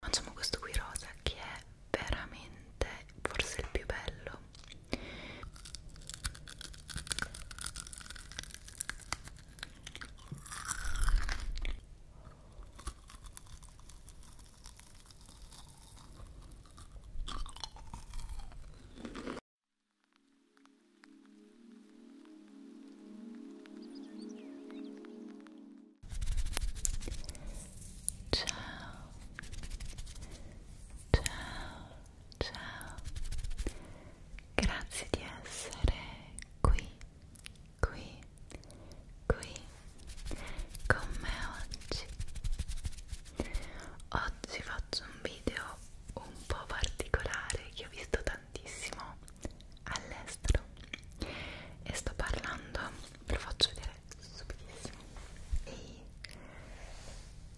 Facciamo questo qui rosa che è veramente forse il più bello. Ciao, ciao, ciao. Grazie di essere qui, qui, qui con me oggi. Oggi faccio un video un po' particolare che ho visto tantissimo all'estero e sto parlando, ve lo faccio vedere subitissimo, dei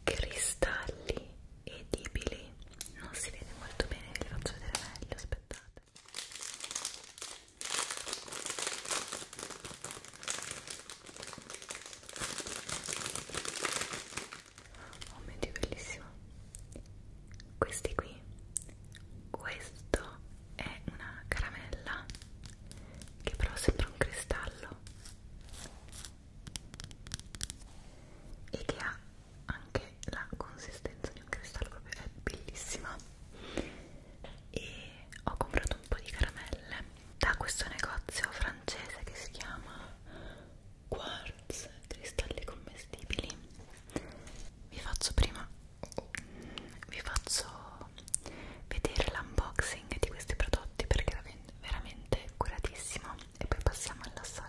cristalli edibili, non si vede molto bene, vi faccio vedere meglio, aspettate. Oh mio dio, bellissimo! Questi qui questo è una caramella che però sembra un cristallo e che ha anche la consistenza di un cristallo proprio è bellissima e ho comprato un po' di caramelle da questo negozio francese che si chiama Quartz cristalli commestibili vi faccio prima vi faccio vedere l'unboxing di questi prodotti perché era veramente curatissimo e poi passiamo all'assaggio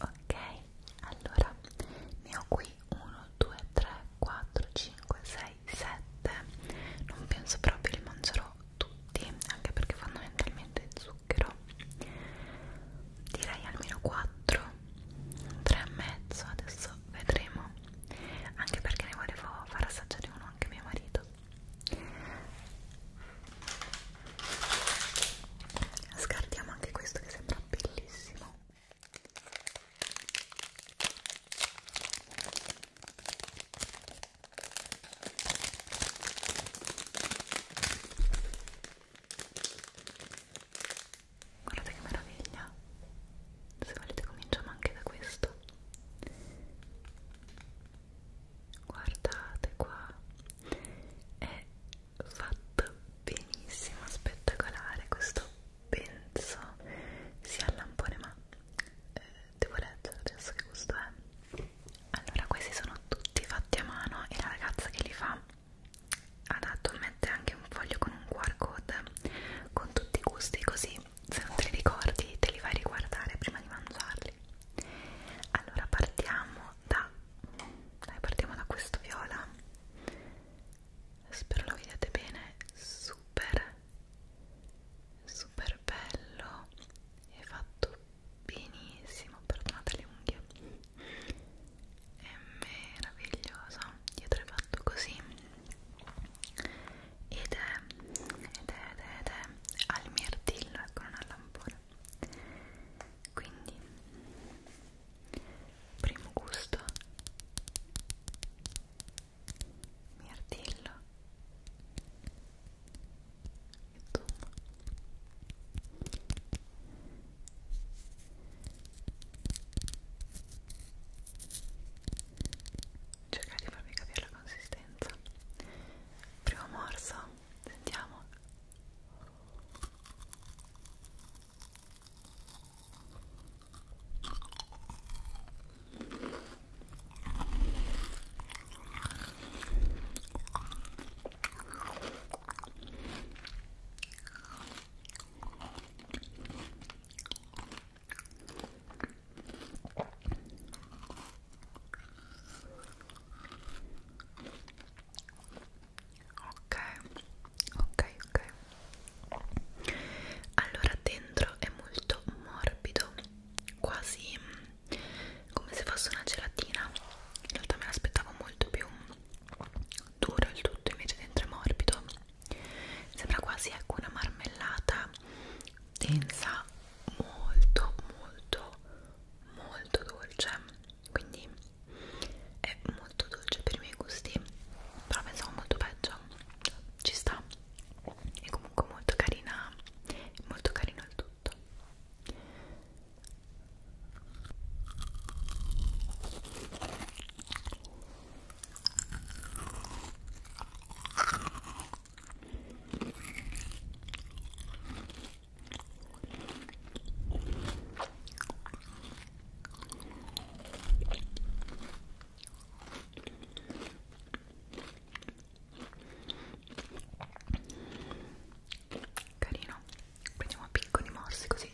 Ok, allora ne ho qui 1, 2, 3, 4, 5, 6, 7. Non penso proprio li mangerò tutti anche perché fondamentalmente zucchero direi almeno 4 3 e mezzo adesso vedremo anche perché ne volevo far assaggiare uno anche mio marito scartiamo anche questo che sembra bellissimo Guardate che meraviglia! Se volete cominciamo anche da questo. Guardate qua, è fatto benissimo, spettacolare questo penso sia il lampone ma eh, devo leggere adesso che gusto è allora questi sono tutti fatti a mano e la ragazza che li fa adatto mette anche un foglio con un QR code con tutti i gusti così se non te li ricordi te li vai a riguardare prima di mangiarli allora partiamo da dai partiamo da questo viola spero lo vediate bene super super bello è fatto benissimo perdonate le unghie è meraviglioso dietro è fatto così ed è ed è ed è, ed è al mirtillo ecco non al lampone quindi primo gusto mirtillo insomma cercare di farmi capire la consistenza primo morso sentiamo Ok, ok, ok. Allora dentro è molto morbido, quasi mm, come se fosse una gelatina in realtà me l'aspettavo molto più duro il tutto invece dentro è morbido sembra quasi ecco una marmellata densa molto molto molto dolce quindi è molto dolce per i miei gusti però pensavo molto peggio ci sta è comunque molto carina molto carino il tutto carino prendiamo piccoli morsi così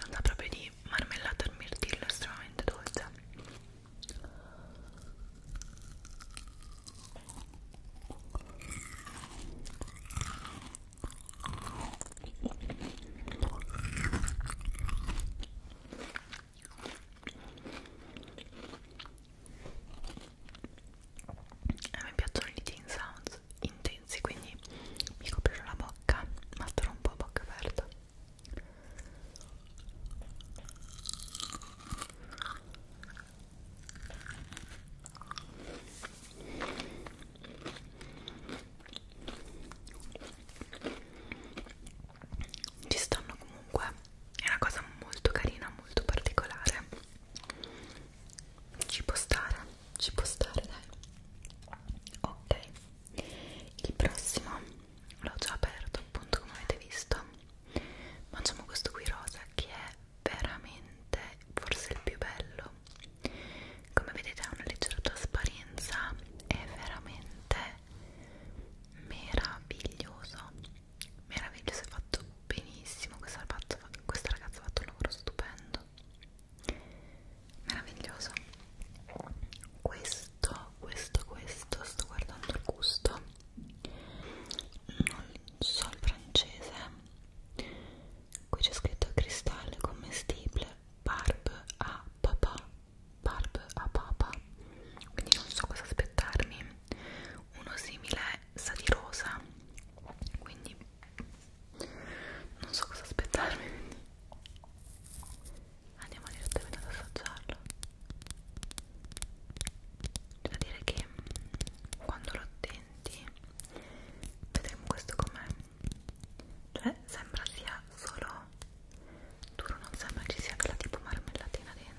non da proprio di marmellata al mirtillo estremamente dolce a me piacciono gli teen sounds intensi, quindi mi coprirò la bocca, ma starò un po' a bocca aperta ci stanno comunque è una cosa molto carina molto particolare ci può stare ci può stare dai ok il prossimo l'ho già aperto appunto come avete visto mangiamo questo qui rosa che è veramente forse il più bello come vedete ha una leggera trasparenza è veramente meraviglioso meraviglioso è fatto benissimo questa, fatto, questa ragazza ha fatto un lavoro stupendo meraviglioso questo questo questo sto guardando il gusto non so il francese qui c'è scritto cristallo commestibile barb a papà barb a papà quindi non so cosa aspettarmi uno simile sa di rosa quindi non so cosa aspettarmi andiamo direttamente ad assaggiarlo devo dire che mm, quando lo tenti vedremo questo com'è cioè sembra sia solo duro non sembra ci sia quella tipo marmellatina dentro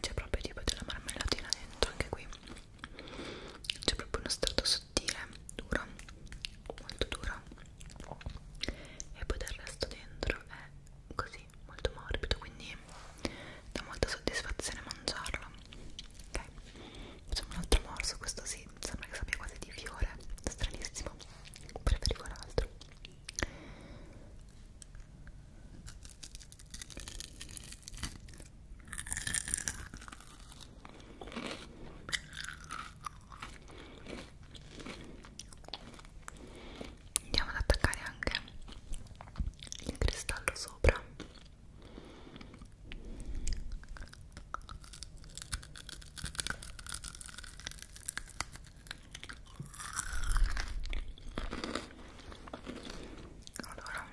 c'è proprio tipo della marmellatina dentro anche qui c'è proprio uno strato sottile duro molto duro e poi del resto dentro è così molto morbido quindi dà molta soddisfazione mangiarlo ok facciamo un altro morso questo sì sembra che sappia quasi di fiore stranissimo preferivo l'altro Andiamo ad attaccare anche il cristallo sopra allora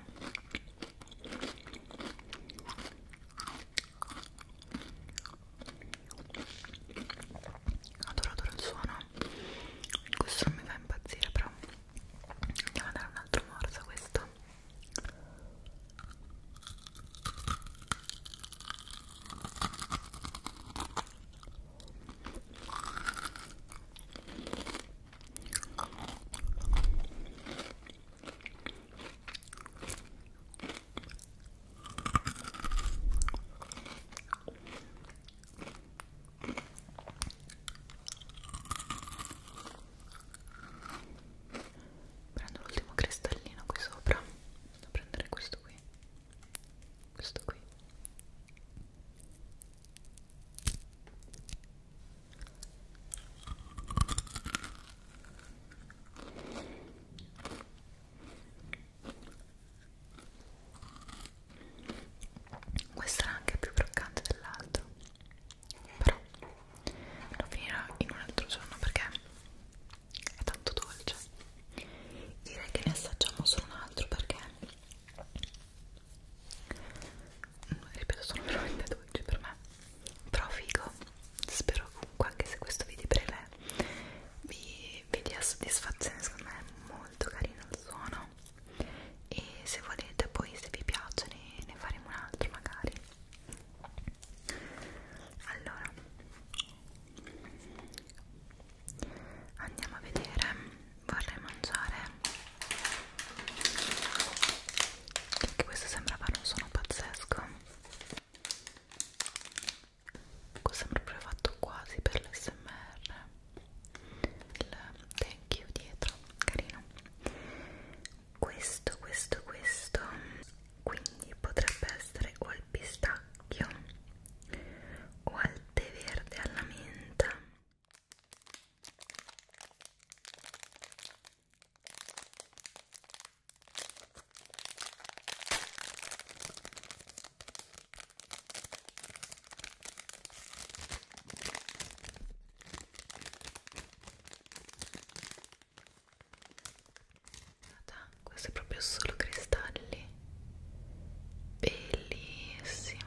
adoro adoro il suono questo non mi fa impazzire però andiamo a dare un altro morso a questo Prendo l'ultimo cristallino qui sopra, da prendere questo qui questo qui questo era anche più croccante dell'altro però lo finirò in un altro giorno perché è tanto dolce direi che ne assaggiamo solo un altro perché mm, ripeto sono veramente dolci per me però figo spero comunque anche se questo video è breve vi, vi dia soddisfazione secondo me è molto carino il suono e se volete poi se vi piace ne, ne faremo un altro magari allora andiamo a vedere vorrei mangiare che questo sembra fare un suono pazzesco ecco, sembra proprio fatto quasi per l'SMR il thank you dietro carino questo questo questo quindi potrebbe essere o al pistacchio o al tè verde alla menta Guarda, questo è proprio solo cristalli bellissimo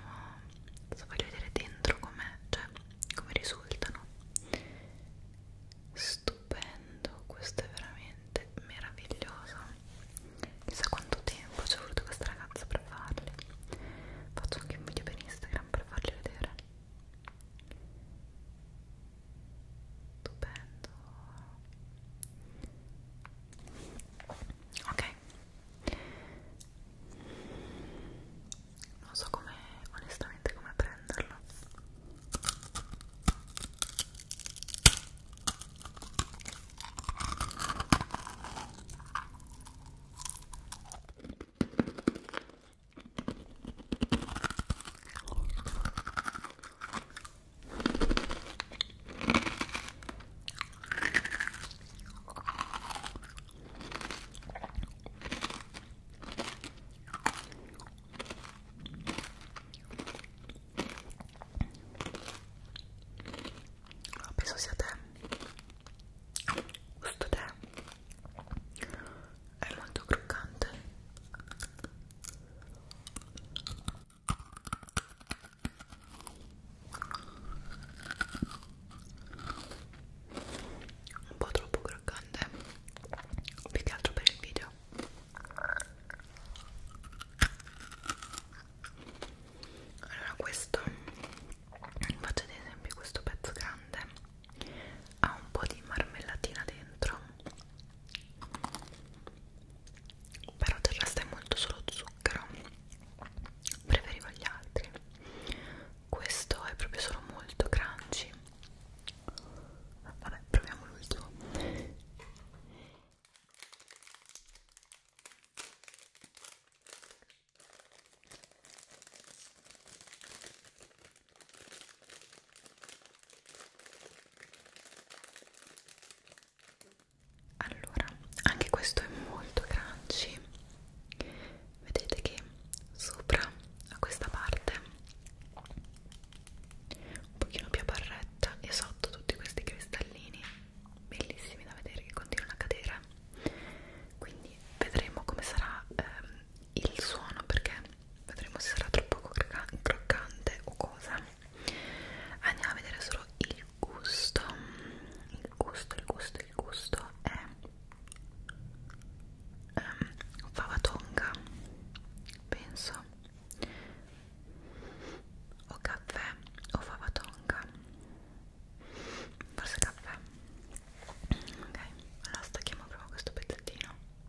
adesso voglio vedere dentro com'è cioè come risultano stupendo questo è veramente meraviglioso chissà quanto tempo ci ha voluto questa ragazza per farli faccio anche un video per Instagram per farli vedere stupendo ok non so come onestamente come prenderlo Penso sia te. Questo tè è molto croccante un po' troppo croccante più che altro per il video allora questo faccio ad esempio questo pezzo grande ha un po' di marmellatina dentro però del resto è molto solo zucchero preferivo gli altri questo è proprio solo molto crunchy vabbè proviamo l'ultimo allora, anche questo è molto crunchy. Vedete che sopra a questa parte un pochino più a barretta e sotto tutti questi cristallini bellissimi da vedere che continuano a cadere. Quindi vedremo come sarà ehm, il suono perché vedremo se sarà troppo croccante o cosa andiamo a vedere solo il gusto il gusto, il gusto, il gusto è um, favatonga penso o caffè o favatonga forse caffè ok allora stacchiamo proprio questo pezzettino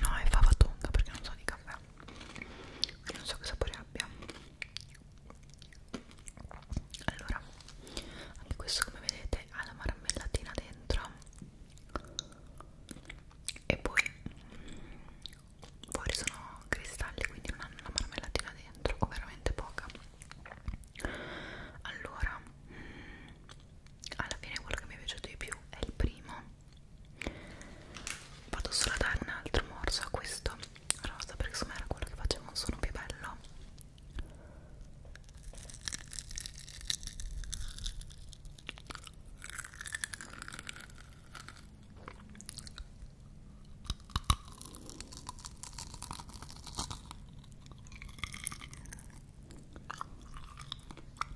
No, è fava tonda perché non so di caffè non so che sapore abbia allora anche questo come vedete ha la marmellatina dentro e poi fuori sono cristalli quindi non hanno la marmellatina dentro o veramente poca allora alla fine quello che mi è piaciuto di più è il primo vado solo a dare un altro morso a questo rosa perché insomma era quello che faceva un suono più bello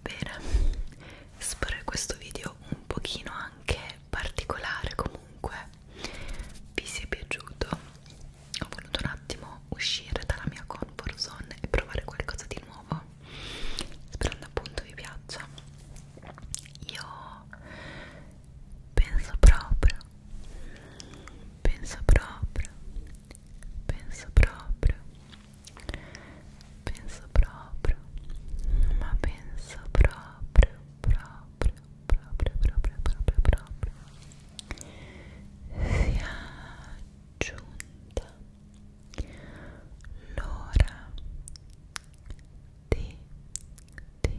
Bene, spero che questo video un pochino anche particolare comunque vi sia piaciuto ho voluto un attimo uscire dalla mia comfort zone e provare qualcosa di nuovo sperando appunto vi piaccia io penso proprio penso proprio penso proprio penso proprio ma penso proprio proprio proprio, proprio, proprio, proprio, proprio sia giunta l'ora di, di, di,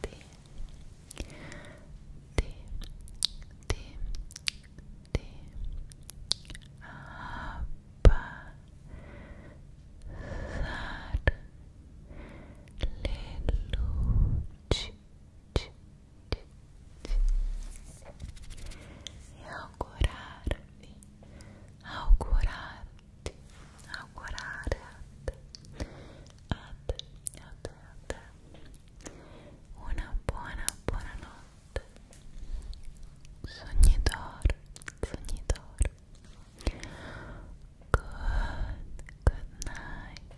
di, di, di abbassare le luci e augurarvi augurarti augurare a te a te a te una buona buona notte sogni d'oro sogni d'oro Good, good night.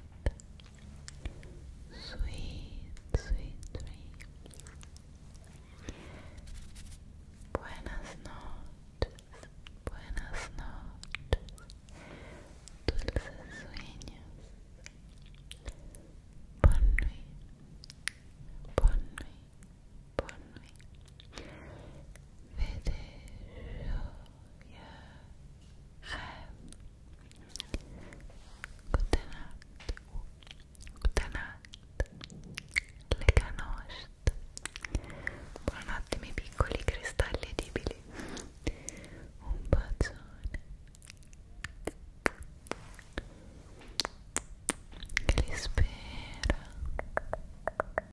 Sweet, sweet dream. Buenas noches, buenas noches. Dulces sueños. Bonne nuit, bonne nuit, bonne nuit. vede gioia Gutenat Gutenat le canost buonanotte miei piccoli cristalli edibili un bacione che li spera